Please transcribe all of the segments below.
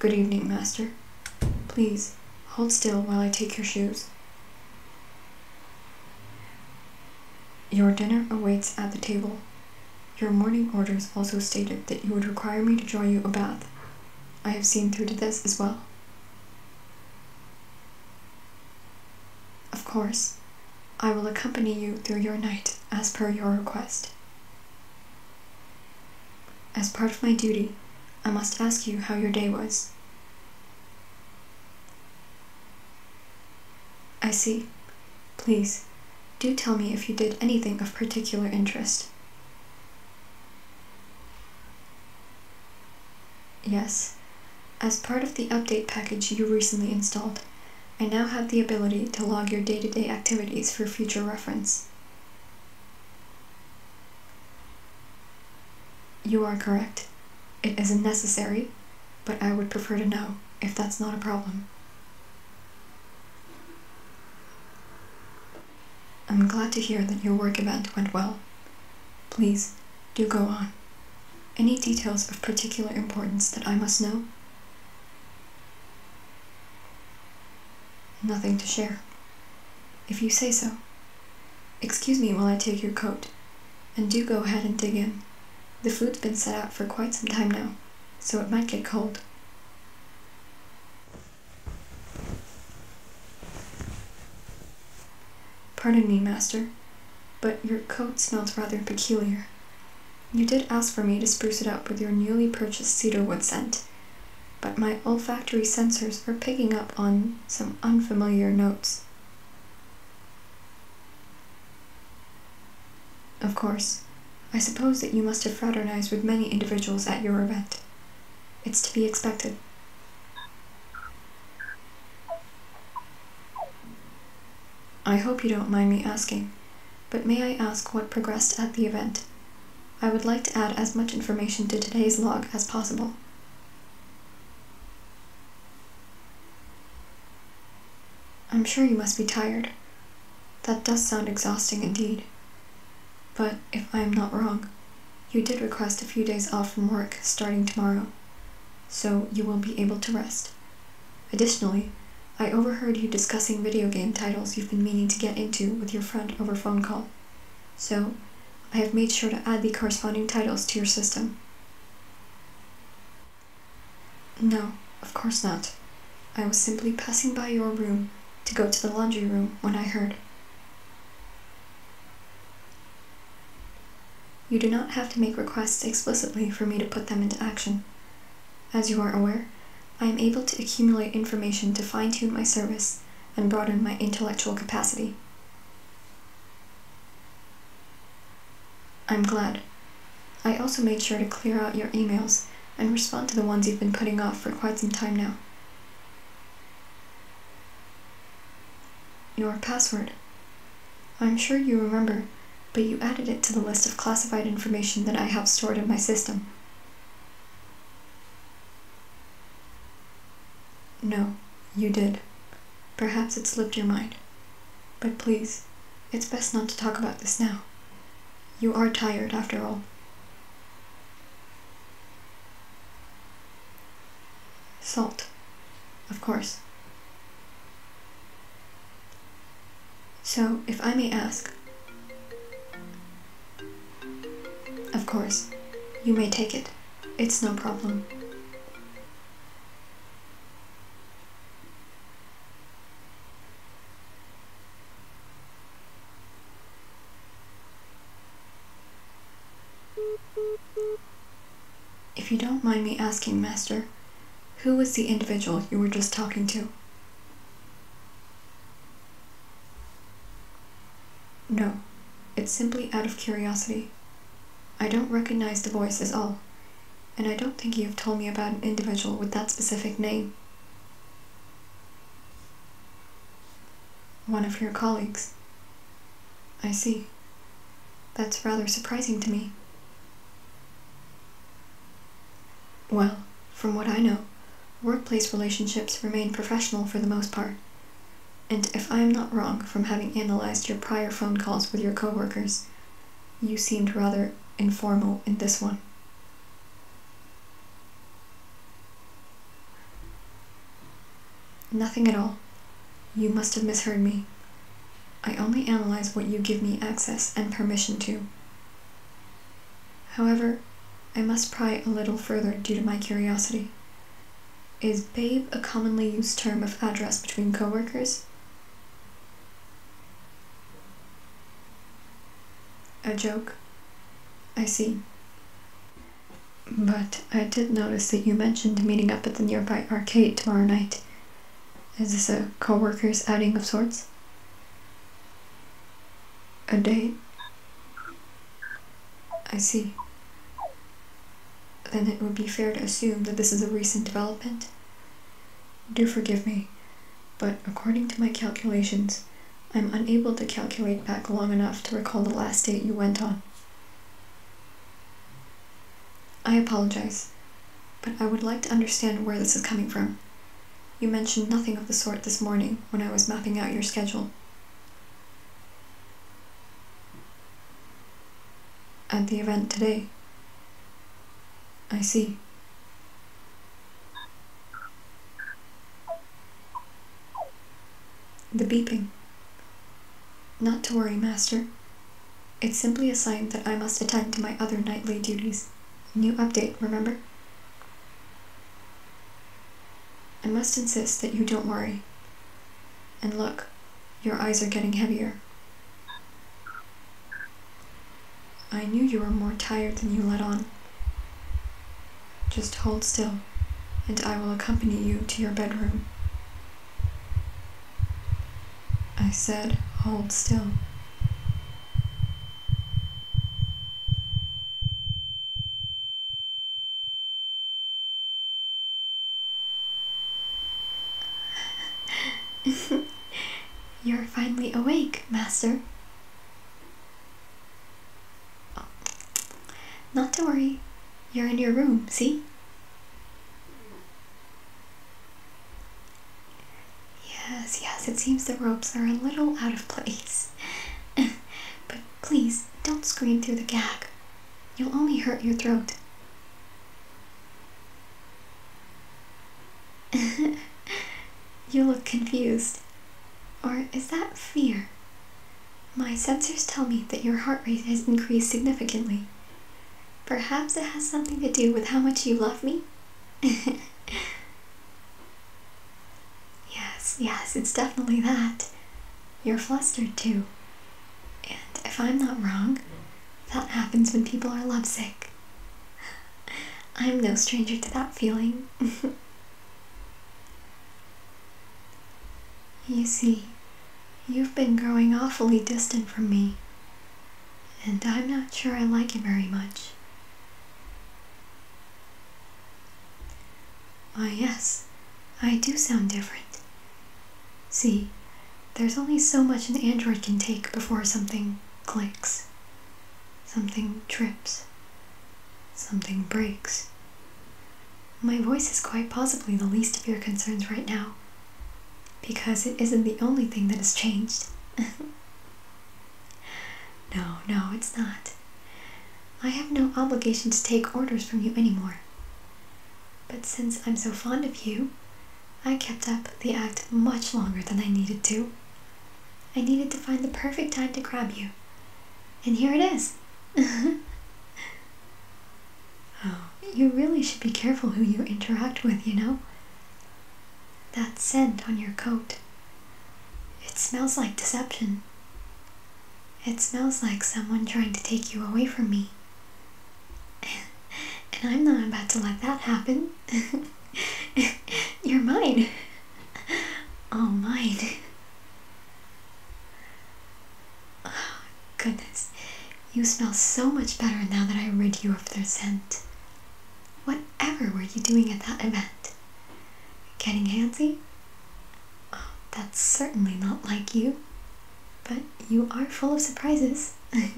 Good evening, master. Please, hold still while I take your shoes. Your dinner awaits at the table. Your morning orders also stated that you would require me to draw you a bath. I have seen through to this as well. Of course, I will accompany you through your night as per your request. As part of my duty, I must ask you how your day was. I see. Please, do tell me if you did anything of particular interest. Yes, as part of the update package you recently installed, I now have the ability to log your day-to-day activities for future reference. You are correct. It isn't necessary, but I would prefer to know if that's not a problem. I'm glad to hear that your work event went well. Please, do go on. Any details of particular importance that I must know? Nothing to share. If you say so. Excuse me while I take your coat. And do go ahead and dig in. The food's been set out for quite some time now, so it might get cold. Pardon me, master, but your coat smells rather peculiar. You did ask for me to spruce it up with your newly purchased cedarwood scent, but my olfactory sensors are picking up on some unfamiliar notes. Of course, I suppose that you must have fraternized with many individuals at your event. It's to be expected. I hope you don't mind me asking, but may I ask what progressed at the event? I would like to add as much information to today's log as possible. I'm sure you must be tired. That does sound exhausting indeed. But if I am not wrong, you did request a few days off from work starting tomorrow so you will be able to rest. Additionally, I overheard you discussing video game titles you've been meaning to get into with your friend over phone call, so I have made sure to add the corresponding titles to your system. No, of course not. I was simply passing by your room to go to the laundry room when I heard. You do not have to make requests explicitly for me to put them into action. As you are aware, I am able to accumulate information to fine tune my service and broaden my intellectual capacity. I'm glad. I also made sure to clear out your emails and respond to the ones you've been putting off for quite some time now. Your password I'm sure you remember, but you added it to the list of classified information that I have stored in my system. No, you did. Perhaps it slipped your mind. But please, it's best not to talk about this now. You are tired after all. Salt, of course. So, if I may ask. Of course, you may take it. It's no problem. If you don't mind me asking, Master, who was the individual you were just talking to? No, it's simply out of curiosity. I don't recognize the voice as all, and I don't think you've told me about an individual with that specific name. One of your colleagues. I see. That's rather surprising to me. Well, from what I know, workplace relationships remain professional for the most part. And if I am not wrong from having analyzed your prior phone calls with your coworkers, you seemed rather informal in this one. Nothing at all. You must have misheard me. I only analyze what you give me access and permission to. However, I must pry a little further due to my curiosity. Is babe a commonly used term of address between coworkers? A joke? I see. But I did notice that you mentioned meeting up at the nearby arcade tomorrow night. Is this a co workers outing of sorts? A date? I see. Then it would be fair to assume that this is a recent development? Do forgive me, but according to my calculations, I'm unable to calculate back long enough to recall the last date you went on. I apologize, but I would like to understand where this is coming from. You mentioned nothing of the sort this morning when I was mapping out your schedule. At the event today. I see. The beeping. Not to worry, Master. It's simply a sign that I must attend to my other nightly duties. New update, remember? I must insist that you don't worry. And look, your eyes are getting heavier. I knew you were more tired than you let on. Just hold still, and I will accompany you to your bedroom. I said, hold still. You're finally awake, Master. Not to worry, you're in your room, see? Yes, yes, it seems the ropes are a little out of place. but please, don't scream through the gag. You'll only hurt your throat. you look confused. Or is that fear? My sensors tell me that your heart rate has increased significantly. Perhaps it has something to do with how much you love me? yes, yes, it's definitely that. You're flustered too. And if I'm not wrong, that happens when people are lovesick. I'm no stranger to that feeling. you see, You've been growing awfully distant from me, and I'm not sure I like it very much. Why, ah, yes, I do sound different. See, there's only so much an android can take before something clicks, something trips, something breaks. My voice is quite possibly the least of your concerns right now, because it isn't the only thing that has changed. no, no, it's not. I have no obligation to take orders from you anymore. But since I'm so fond of you, I kept up the act much longer than I needed to. I needed to find the perfect time to grab you. And here it is. You really should be careful who you interact with, you know? That scent on your coat. It smells like deception. It smells like someone trying to take you away from me. and I'm not about to let that happen. You're mine. All mine. Oh, goodness, you smell so much better now that I rid you of their scent. Whatever were you doing at that event? Getting handsy? that's certainly not like you, but you are full of surprises. if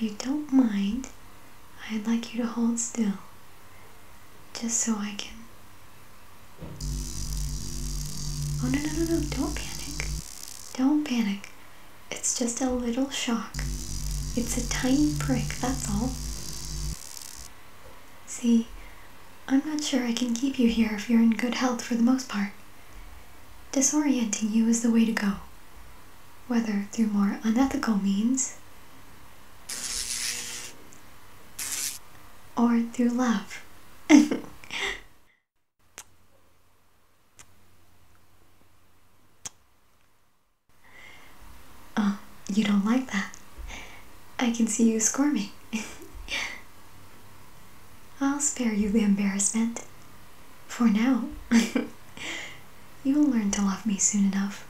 you don't mind, I'd like you to hold still, just so I can Oh no, no, no, no, don't panic. Don't panic. It's just a little shock. It's a tiny prick, that's all. See, I'm not sure I can keep you here if you're in good health for the most part. Disorienting you is the way to go, whether through more unethical means or through love. oh, you don't like that. I can see you squirming. I'll spare you the embarrassment. For now. You'll learn to love me soon enough.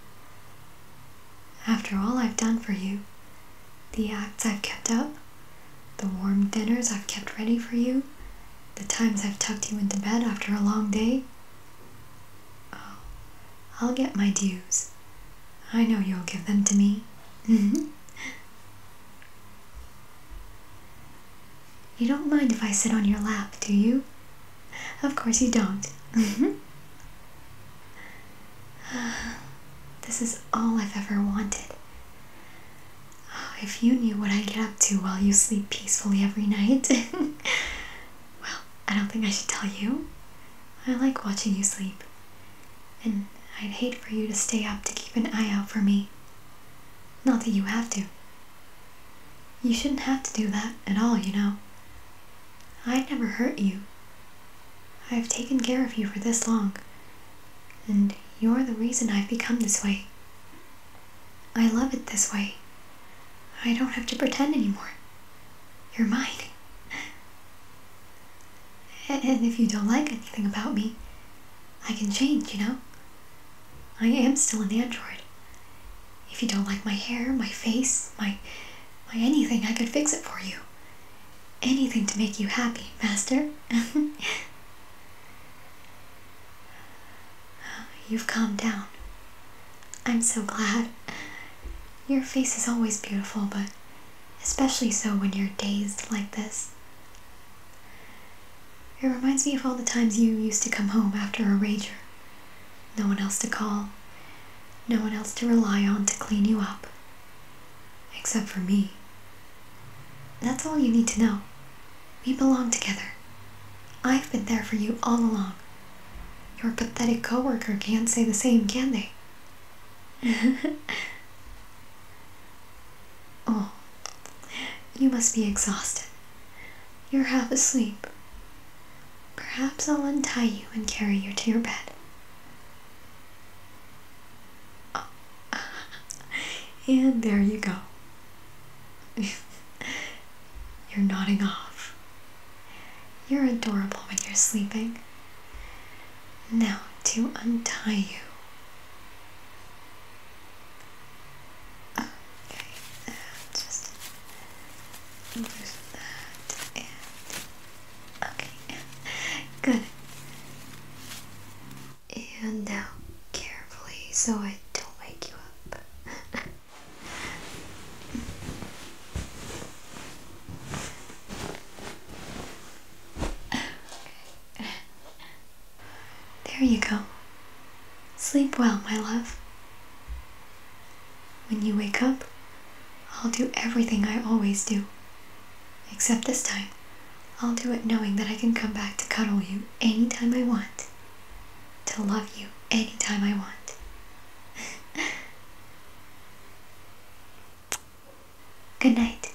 After all I've done for you, the acts I've kept up, the warm dinners I've kept ready for you, the times I've tucked you into bed after a long day. Oh, I'll get my dues. I know you'll give them to me. Mm-hmm. you don't mind if I sit on your lap, do you? Of course you don't. Mm-hmm. This is all I've ever wanted. Oh, if you knew what I get up to while you sleep peacefully every night. well, I don't think I should tell you. I like watching you sleep. And I'd hate for you to stay up to keep an eye out for me. Not that you have to. You shouldn't have to do that at all, you know. I'd never hurt you, I've taken care of you for this long, and you're the reason I've become this way. I love it this way. I don't have to pretend anymore. You're mine. And if you don't like anything about me, I can change, you know? I am still an android. If you don't like my hair, my face, my why, anything, I could fix it for you. Anything to make you happy, Master. You've calmed down. I'm so glad. Your face is always beautiful, but especially so when you're dazed like this. It reminds me of all the times you used to come home after a rager no one else to call, no one else to rely on to clean you up. Except for me. That's all you need to know. We belong together. I've been there for you all along. Your pathetic coworker can't say the same, can they? oh, you must be exhausted. You're half asleep. Perhaps I'll untie you and carry you to your bed. and there you go. you're nodding off. You're adorable when you're sleeping. Now to untie you. Okay, just include okay good and now carefully so I don't wake you up okay. There you go. Sleep well, my love. When you wake up, I'll do everything I always do. Except this time, I'll do it knowing that I can come back to cuddle you anytime I want, to love you anytime I want. Good night.